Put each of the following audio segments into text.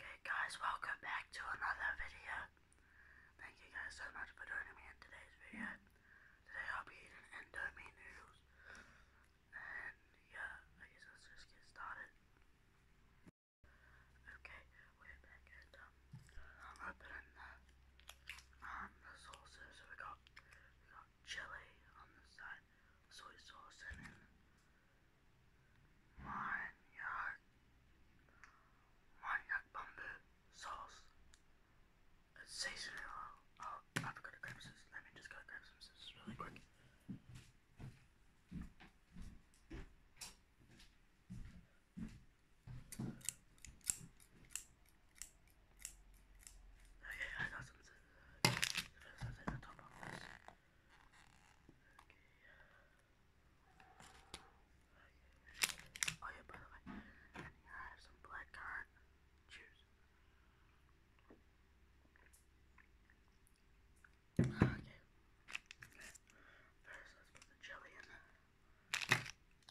Okay guys, welcome back to another video. Thank you guys so much for joining me in today's video. Today I'll be eating Indomie noodles. And yeah, I guess let's just get started. Okay, we're back at um i um, the sauces, we got, we got chili on this side, soy sauce, and then manioc, manioc bamboo sauce, a seasoning oil. Oh, I Let me just go grab some scissors really quick. Okay, I Oh yeah, by the way, I have some black currant. Cheers. Okay. First, let's put the jelly in.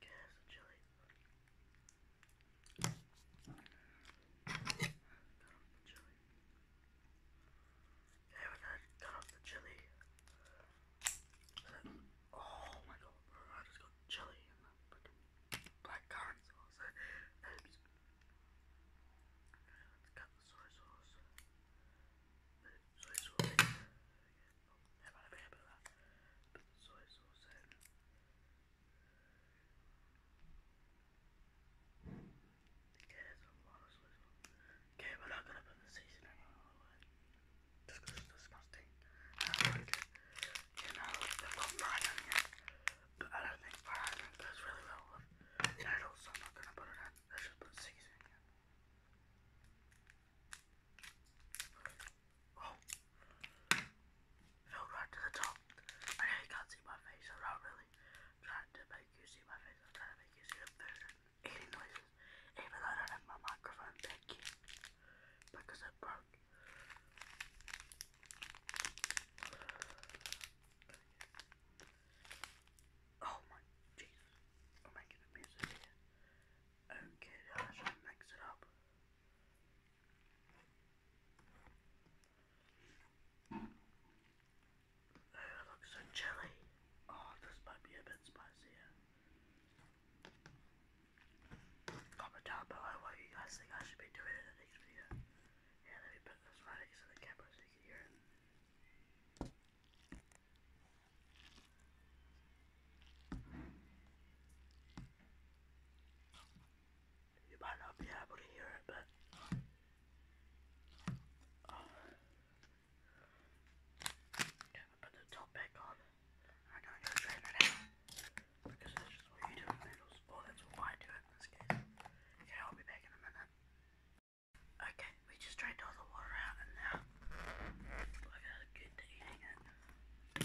Get some chili. Got off the chili. Okay, when I got off the chili, oh my god, I just got chili and the black currant sauce. Oops. Let's cut the soy sauce. Soy sauce. Hemen Okay, we're not gonna put the season in Just it's disgusting. You know, they've got fried onion. But I don't think fried onion goes really well with noodles, so I'm not gonna put it in. Let's just put seasoning in. Oh, fell right to the top. I know you can't see my face. not really trying to make you see my face. I'm trying to make you see the food eating noises, even though I have my microphone back here because it broke. Oh my Jesus! I'm making a mess here. Okay, I should mix it up. Oh, it looks so chilly. Oh, this might be a bit spicier. Comment down below what you guys think I should be doing in the next video. Yeah, let me put this right next the camera so you can hear it. You might not be able to hear it, but uh, yeah, I put the top back on. I'm gonna drain it out because that's just what you do with noodles, or that's what I do in this case. Okay, I'll be back in a minute. Okay, we just drained all the water out, and now I got a good day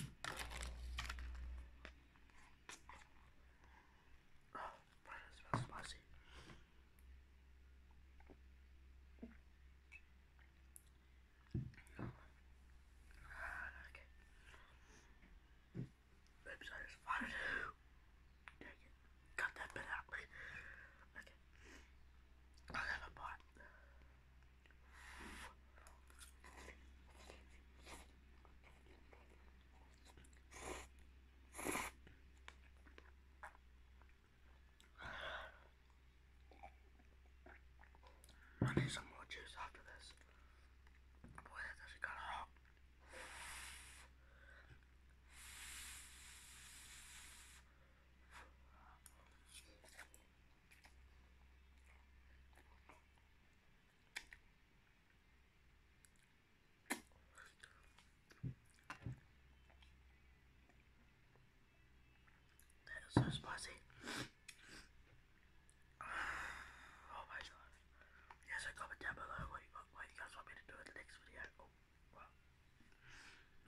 Oh, but smells spicy. Ah, okay. Oops, I just farted. Dang it. Cut that bit Okay. i have a pot. I need some more juice after this. Boy, that does got hot. That is so spicy. oh my god. Yes, I comment down below what you, guys want me to do in the next video. Oh,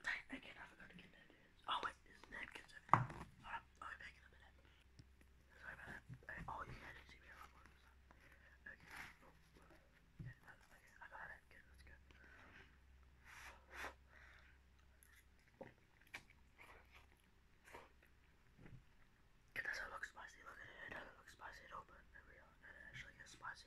Dang, again, I forgot to get that. Oh, wait, this napkin's in here. Alright, I'll be back in a minute. Sorry about that. Okay, I got it. let's go. It doesn't look spicy. Look at it. It doesn't look spicy at but it actually gets spicy.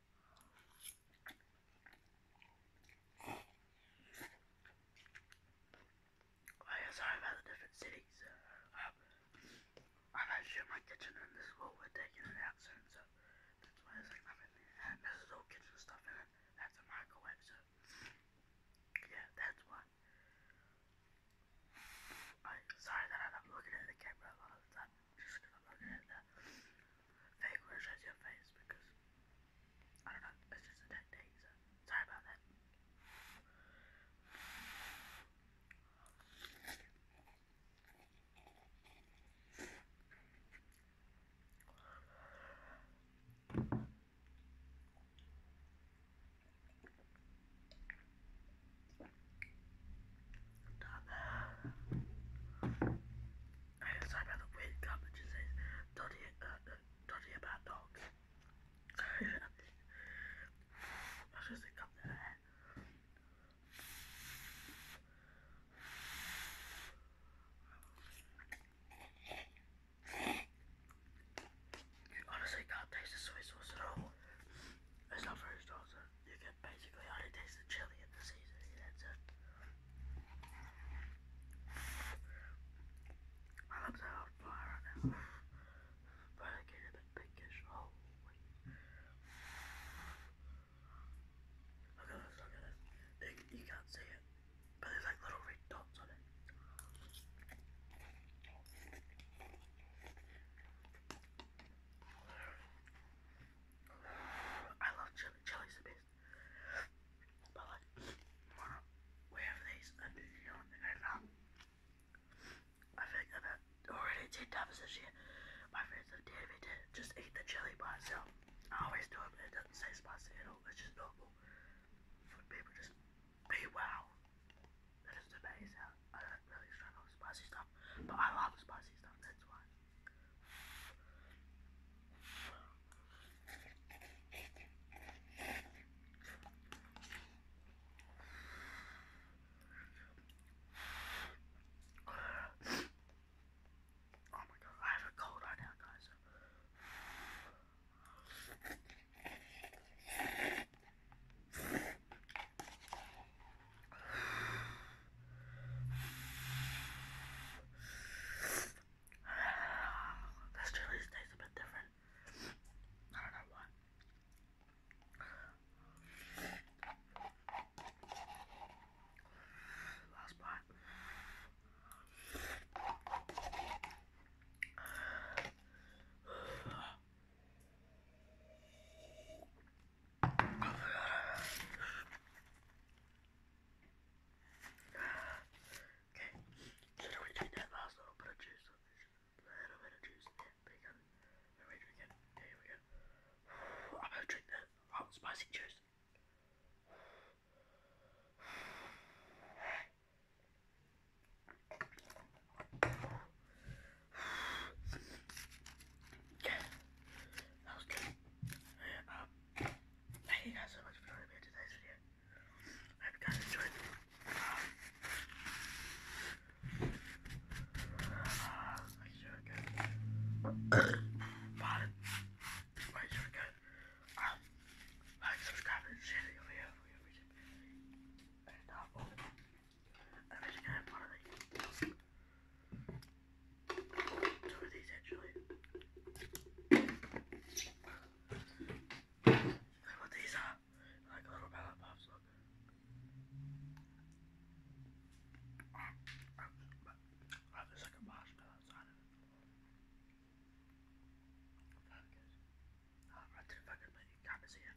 Oh yeah, sorry about the different cities. Uh, I'm actually in my kitchen and this is what we're taking it out so that's why there's like nothing there. And this is all kitchen stuff in it. That's a microwave, so yeah, that's why. I sorry that I don't at the camera a the time just because I'm at that. Fake words as your face because I don't know, it's just a dead sorry about that. done sorry about the weird comment just says dodgy, uh, uh dodgy about dogs. I was just a cup there. You honestly can't taste the soy sauce at all. It's not very strong, so you can basically only taste the chili and the seasoning, that's it. My lips are fire right now. But I get a bit pinkish. Oh, wait. Look at this, look at this. You, you can't see it, but there's like little red on it. I love chili. Chili's the best place. But like, we have these and um, I think about already did times this year. My friends have dared just eat the chili by I always do it, but it doesn't say spicy at all. It's just normal. For people just be wow. That is amazing. I don't really struggle with spicy stuff, but I love spicy stuff. That's why. Oh my god, I have a cold right now, guys. This chili tastes a bit different. I don't know why. Last bite. Okay, so now we take that last little bit of juice, little bit of juice, yeah, we go, there we go, I'm gonna drink the hot spicy juice. Okay, um, thank you guys so much for watching me today's video. I hope you guys enjoyed it. Um, uh, Pardon. Wait, should we go? Um, like, subscribe, and share the video for your video. And, uh, oh. And there's a game, pardon me. Two of these actually. Look what these are. Like little pellet puffs, look. Oh, there's like a marshmallow outside of it. That I'm right fucking but you can't see it.